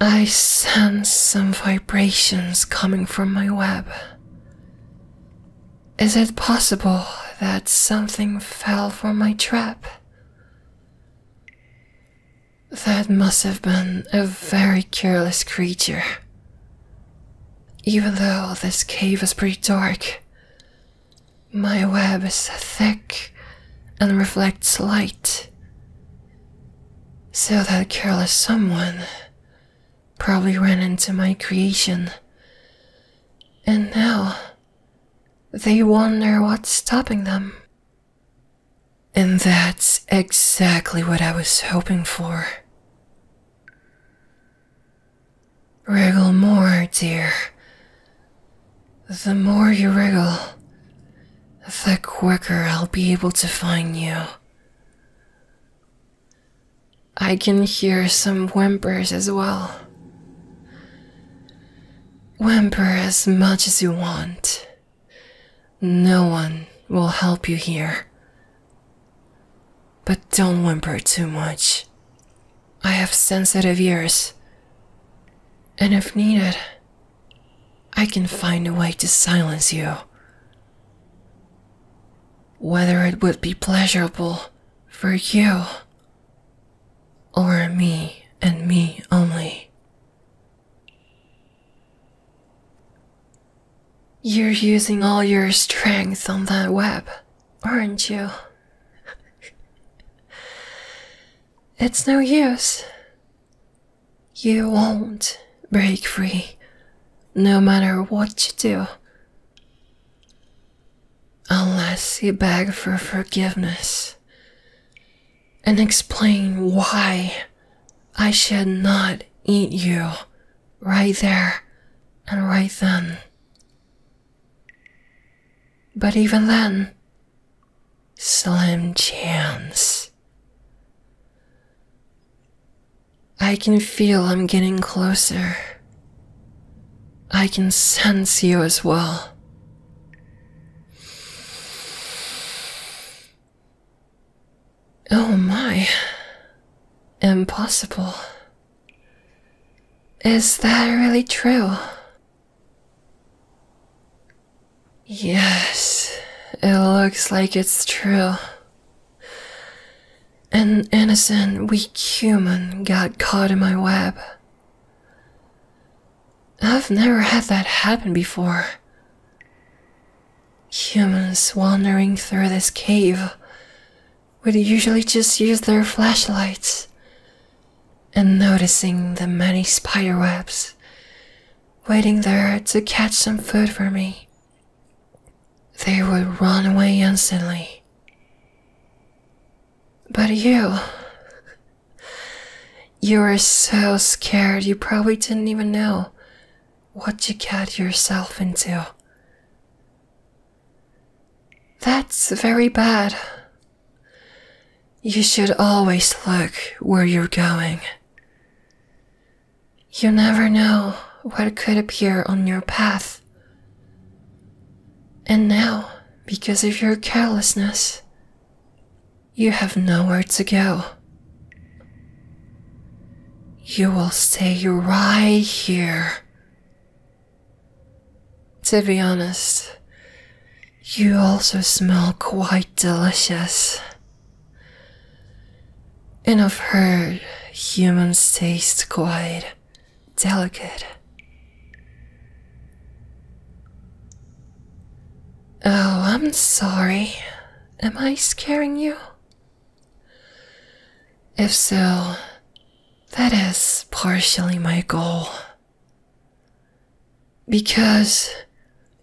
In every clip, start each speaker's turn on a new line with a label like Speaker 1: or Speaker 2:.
Speaker 1: I sense some vibrations coming from my web. Is it possible that something fell from my trap? That must have been a very careless creature. Even though this cave is pretty dark, my web is thick and reflects light, so that careless someone probably ran into my creation. And now they wonder what's stopping them. And that's exactly what I was hoping for. Wriggle more, dear. The more you wriggle, the quicker I'll be able to find you. I can hear some whimpers as well. Whimper as much as you want. No one will help you here. But don't whimper too much. I have sensitive ears. And if needed, I can find a way to silence you. Whether it would be pleasurable for you or me and me only. You're using all your strength on that web, aren't you? it's no use. You won't break free, no matter what you do. Unless you beg for forgiveness and explain why I should not eat you right there and right then. But even then, slim chance. I can feel I'm getting closer. I can sense you as well. Oh my. Impossible. Is that really true? Yes, it looks like it's true. An innocent, weak human got caught in my web. I've never had that happen before. Humans wandering through this cave would usually just use their flashlights and noticing the many spiderwebs waiting there to catch some food for me. They would run away instantly. But you. You were so scared you probably didn't even know what you got yourself into. That's very bad. You should always look where you're going. You never know what could appear on your path. And now, because of your carelessness, you have nowhere to go. You will stay right here. To be honest, you also smell quite delicious. And I've heard humans taste quite delicate. Oh, I'm sorry. Am I scaring you? If so, that is partially my goal. Because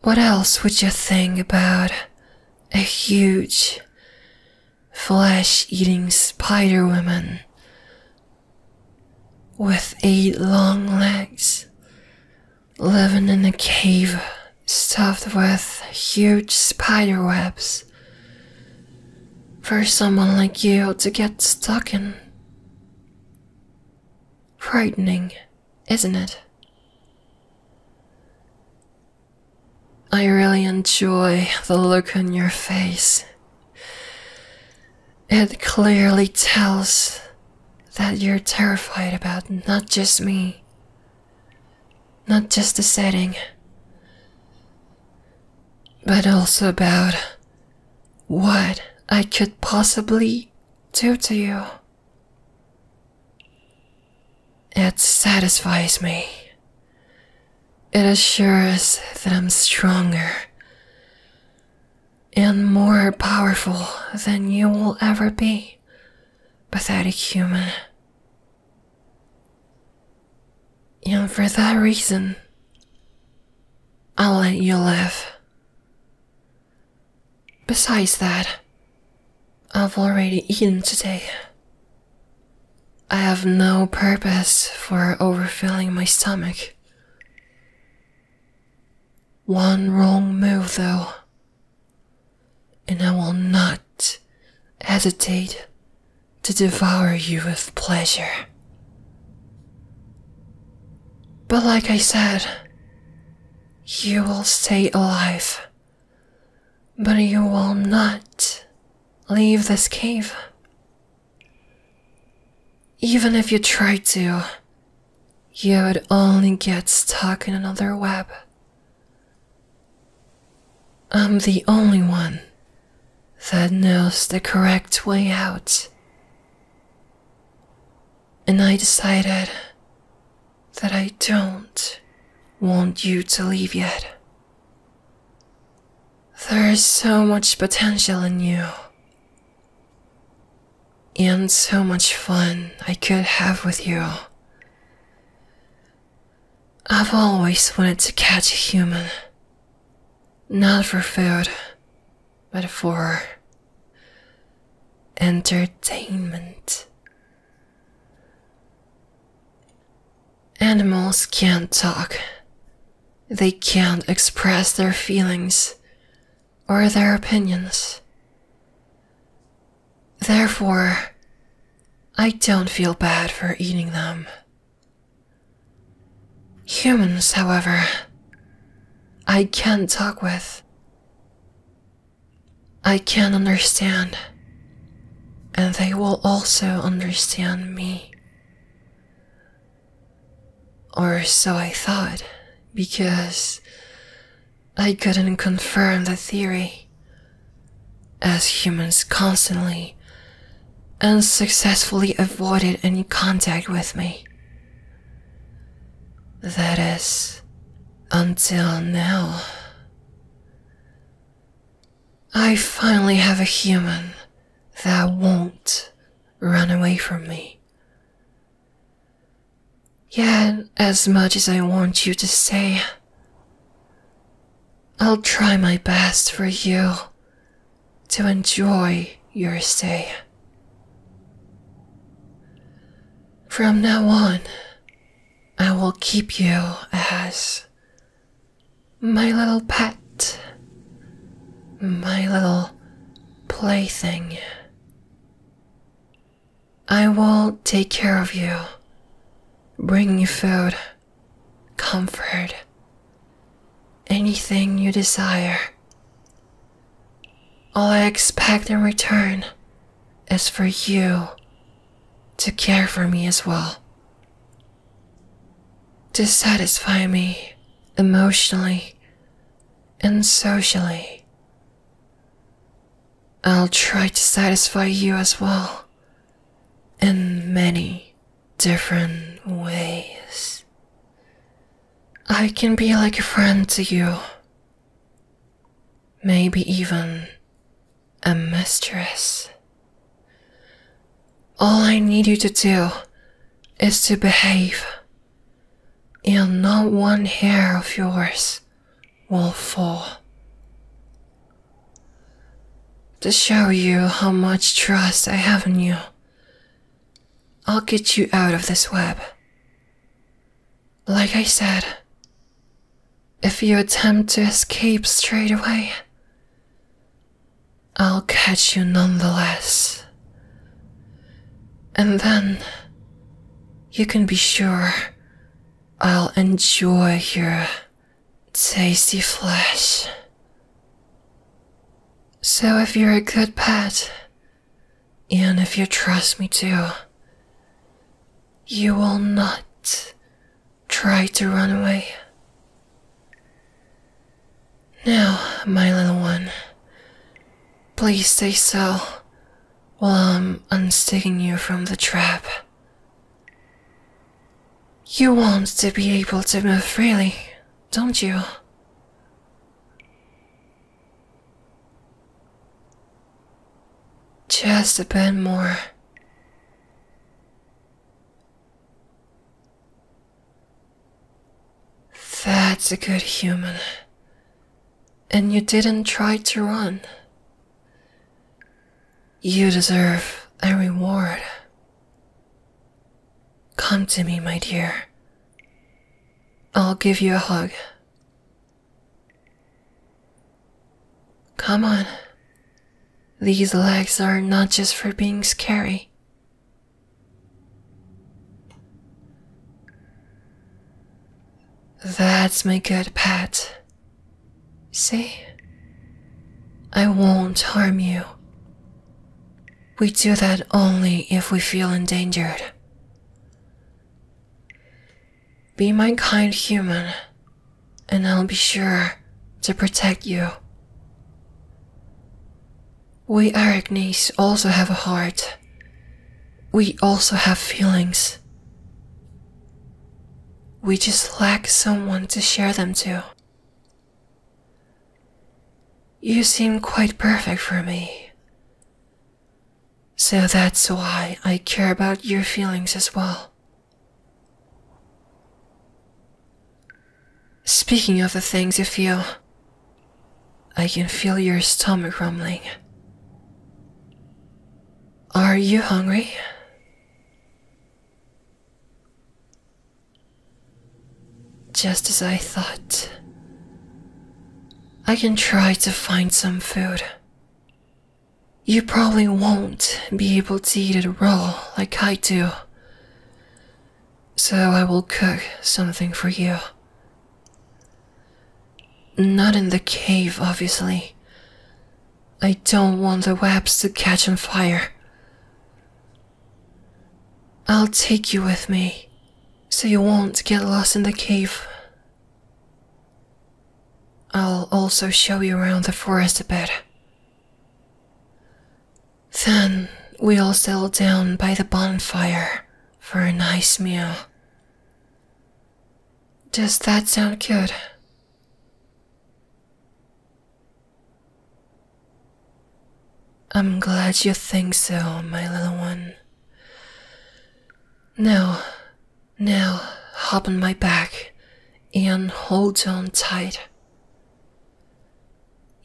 Speaker 1: what else would you think about a huge, flesh eating spider woman with eight long legs living in a cave stuffed with huge spider webs? For someone like you to get stuck in. Frightening isn't it? I really enjoy the look on your face. It clearly tells that you're terrified about not just me, not just the setting, but also about what I could possibly do to you. It satisfies me. It assures that I'm stronger and more powerful than you will ever be, pathetic human. And for that reason, I'll let you live. Besides that, I've already eaten today. I have no purpose for overfilling my stomach. One wrong move, though, and I will not hesitate to devour you with pleasure. But, like I said, you will stay alive, but you will not leave this cave. Even if you try to, you would only get stuck in another web. I'm the only one that knows the correct way out and I decided that I don't want you to leave yet. There is so much potential in you, and so much fun I could have with you. I've always wanted to catch a human, not for food, but for Entertainment. Animals can't talk. They can't express their feelings or their opinions. Therefore, I don't feel bad for eating them. Humans, however, I can talk with. I can understand, and they will also understand me. Or so I thought, because I couldn't confirm the theory. As humans constantly and successfully avoided any contact with me. That is, until now. I finally have a human that won't run away from me. Yet, as much as I want you to stay, I'll try my best for you to enjoy your stay. From now on, I will keep you as my little pet, my little plaything. I will take care of you, bring you food, comfort, anything you desire. All I expect in return as for you to care for me as well, to satisfy me emotionally and socially. I'll try to satisfy you as well in many different ways. I can be like a friend to you, maybe even a mistress. All I need you to do is to behave, and not one hair of yours will fall. To show you how much trust I have in you, I'll get you out of this web. Like I said, if you attempt to escape straight away, I'll catch you nonetheless. And then you can be sure I'll enjoy your tasty flesh. So if you're a good pet, and if you trust me too, you will not try to run away. Now, my little one, please stay still while I'm unsticking you from the trap. You want to be able to move freely, don't you? Just a bit more. That's a good human. And you didn't try to run. You deserve a reward. Come to me, my dear. I'll give you a hug. Come on. These legs are not just for being scary. That's my good pet. See? I won't harm you. We do that only if we feel endangered. Be my kind human, and I'll be sure to protect you. We Arachnes also have a heart. We also have feelings. We just lack someone to share them to. You seem quite perfect for me. So that's why I care about your feelings as well. Speaking of the things you feel, I can feel your stomach rumbling. Are you hungry? Just as I thought. I can try to find some food. You probably won't be able to eat it raw like I do. So I will cook something for you. Not in the cave, obviously. I don't want the webs to catch on fire. I'll take you with me so you won't get lost in the cave. I'll also show you around the forest a bit. Then we'll settle down by the bonfire for a nice meal. Does that sound good? I'm glad you think so, my little one. Now, now, hop on my back Ian. hold on tight.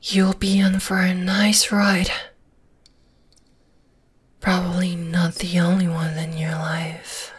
Speaker 1: You'll be in for a nice ride. Probably not the only one in your life.